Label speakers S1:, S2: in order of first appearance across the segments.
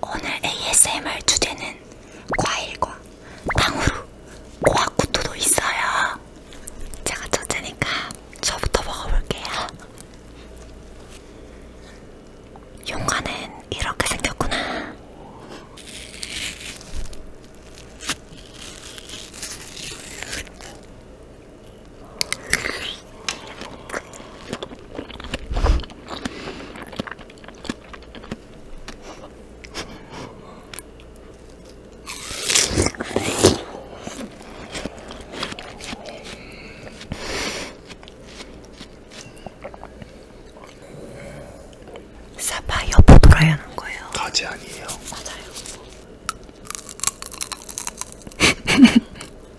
S1: 오늘 ASMR 주제는 과일과 당후루 고아쿠토도 있어요. 제가 첫째니까 저부터 먹어볼게요. 용과는 이렇게 생겼구나. 사파 여보 돌아야 하는 거예요. 가지 아니에요. 맞아요.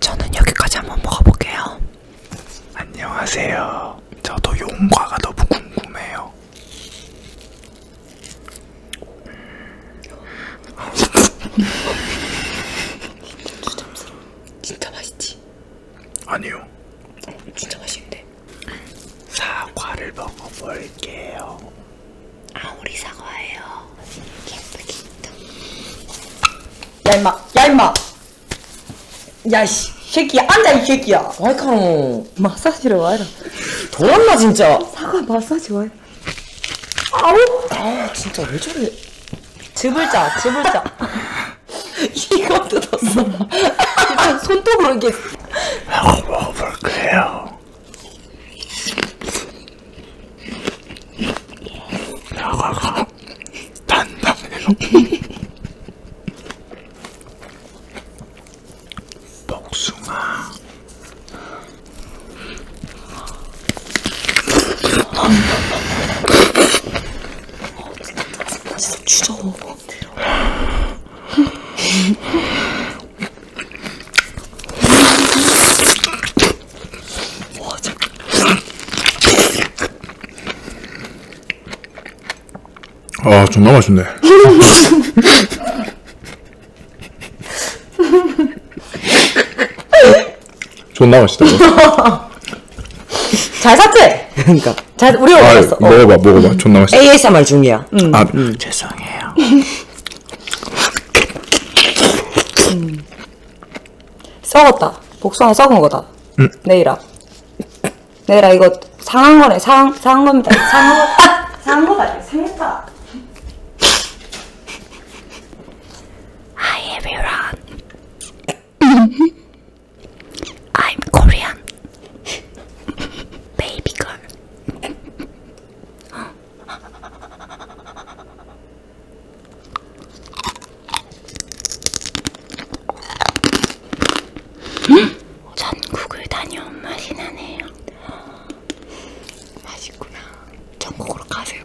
S1: 저는 여기까지 한번 먹어볼게요. 안녕하세요. 저도 용과가 너무 궁금해요. 진짜 추잡스러워. 진짜 맛있지? 아니요. 어, 진짜 맛있는데. 사과를 먹어볼게요. 아우리 사과예요. 예쁘게 야 임마! 야 임마! 야씨 새끼야 앉아 이 새끼야 와이카노 마사지를 와이라 더웠나 진짜 사과 마사지 와이라 아우 아 진짜 왜 저래 즈불자 즈불자 이거 뜯었어. 일단 손톱으로 이렇게. 하고 먹어볼게요. 야가가 단단해요. 복숭아. 어, 진짜 진짜 추워. 와, 참. 아, 정말 맛있네. 존나 맛있다. 잘 샀대. 그러니까 잘 우리가 아, 먹었어. 어. 먹어봐, 먹어봐. 존나 음. 맛있어. ASMR 중이야. 응. 음. 아, 음. 죄송해요. 썩었다. 복숭아 썩은 거다. 응. 내일아. 내일아 이거 상한 거네. 상 상한 겁니다. 상한 거. 아, 상한 거다. 상했다. Hi everyone. I'm Korean. Baby girl. 전국을 다녀온 맛이 나네요. 맛있구나. 전국으로 가세요.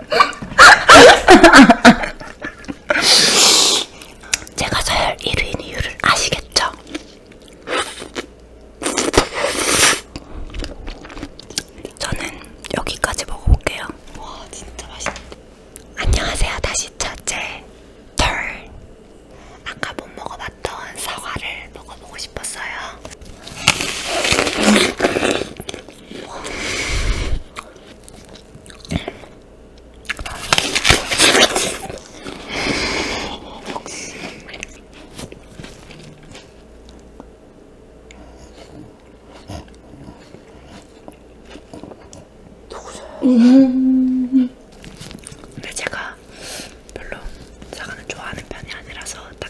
S1: 제가 서열 1위인 이유를 아시겠죠? 저는 여기까지 먹어볼게요. 와 진짜 맛있다. 안녕하세요. 다시 첫째 털. 아까 못 먹어봤던 사과를 먹어보고 싶었어요. 음 근데 제가 별로 사과는 좋아하는 편이 아니라서 다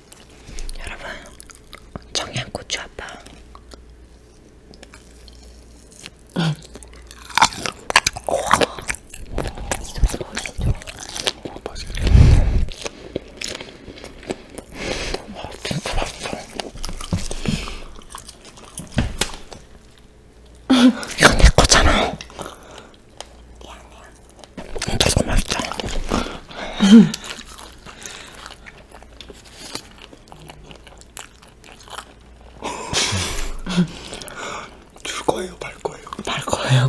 S1: 여러분 청양고추 아빠 이 소스 멋있죠? 어, 맛있네 와 진짜 맛있어 이건 내 거잖아 미안해요 되게 맛있다. 줄 거예요, 말 거예요. 말 거예요.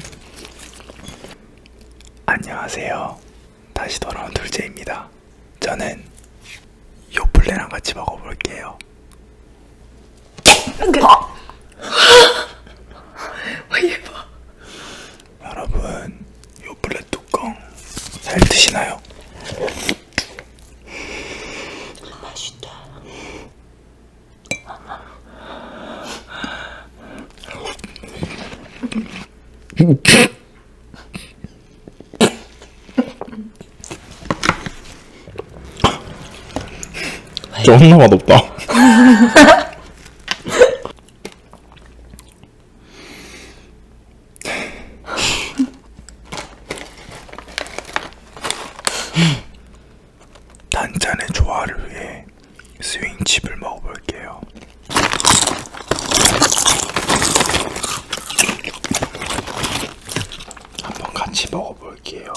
S1: 안녕하세요. 다시 돌아온 둘째입니다. 저는 요플레랑 같이 먹어볼게요. 아! 와, 얘 봐. 여러분 요블렛 뚜껑 잘 드시나요? 맛있다. 존나 맛없다. 단짠의 조화를 위해 스윙칩을 먹어볼게요. 한번 같이 먹어볼게요.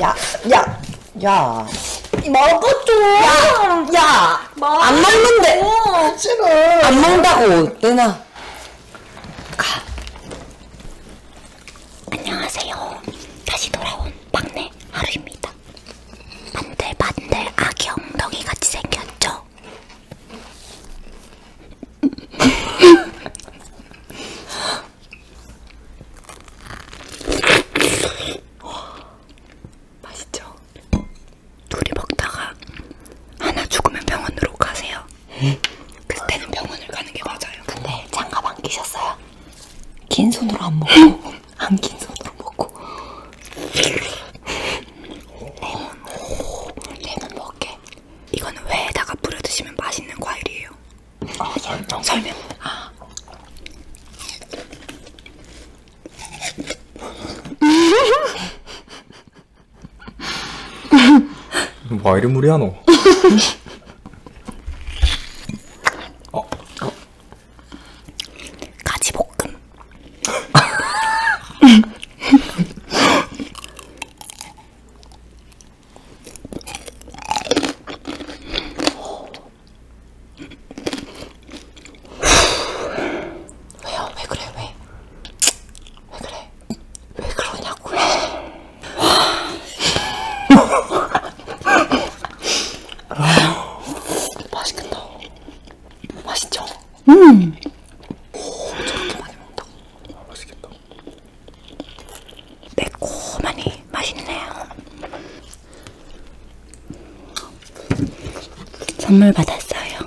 S1: 야, 야, 야. 먹었죠. 야, 야. 안 먹는데. 지금. 안 먹는다고, 내나. 가. 안녕하세요. 다시 돌아온 막내 하루입니다. 반들반들 아기 엉덩이 같이 생겼죠? 맛있죠? 둘이 먹다가 하나 죽으면 병원으로 가세요. 그때는 병원을 가는 게 맞아요. 근데 장갑 안 끼셨어요? 긴 손으로 안 먹고, 안 긴 손으로 먹고. 레몬, 오, 레몬 먹게. 이거는 회에다가 뿌려 드시면 맛있는 과일이에요. 아, 설명. 설명. 아. 와 뭐 이런 무리야 너. 어, 어. 가지 볶음. 왜요? 왜 그래? 왜? 왜 그래? 왜 그러냐고요. 아, 맛있겠다. 맛있죠? 음. 오, 저렇게 많이 먹는다. 아, 맛있겠다. 매콤하니 맛있네요. 선물 받았어요.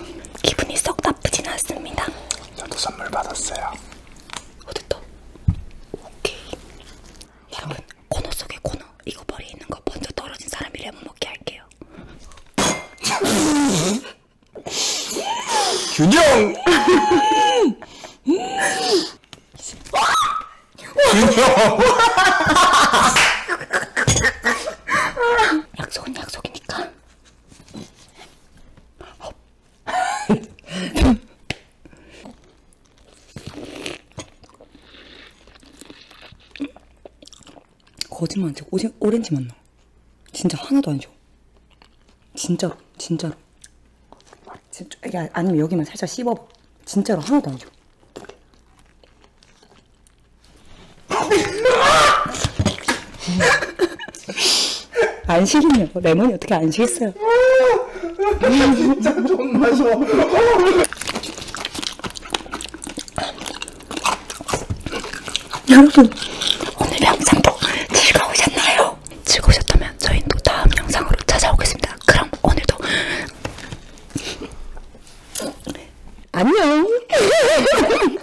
S1: 기분이 썩 나쁘진 않습니다. 저도 선물 받았어요. 어딨다? 오케이. 여러분 코너 속에 코너 이거 머리 있는 거 먼저 떨어진 사람이 레몬 먹게 할게요. 균형. 균형. 약속은 약속이니까 거짓말 안 치고 오지, 오렌지 맛나 진짜 하나도 안 쉬워 진짜로 진짜로 진짜, 야, 아, 아니면 여기만 살짝 씹어봐 진짜로 하나도 안 쉬워 아! 안 식네요. 레몬이 어떻게 안 식겠어요? 진짜 존나 셔. 여러분 오늘 영상도 즐거우셨나요? 즐거우셨다면 저희는 또 다음 영상으로 찾아오겠습니다. 그럼 오늘도 안녕.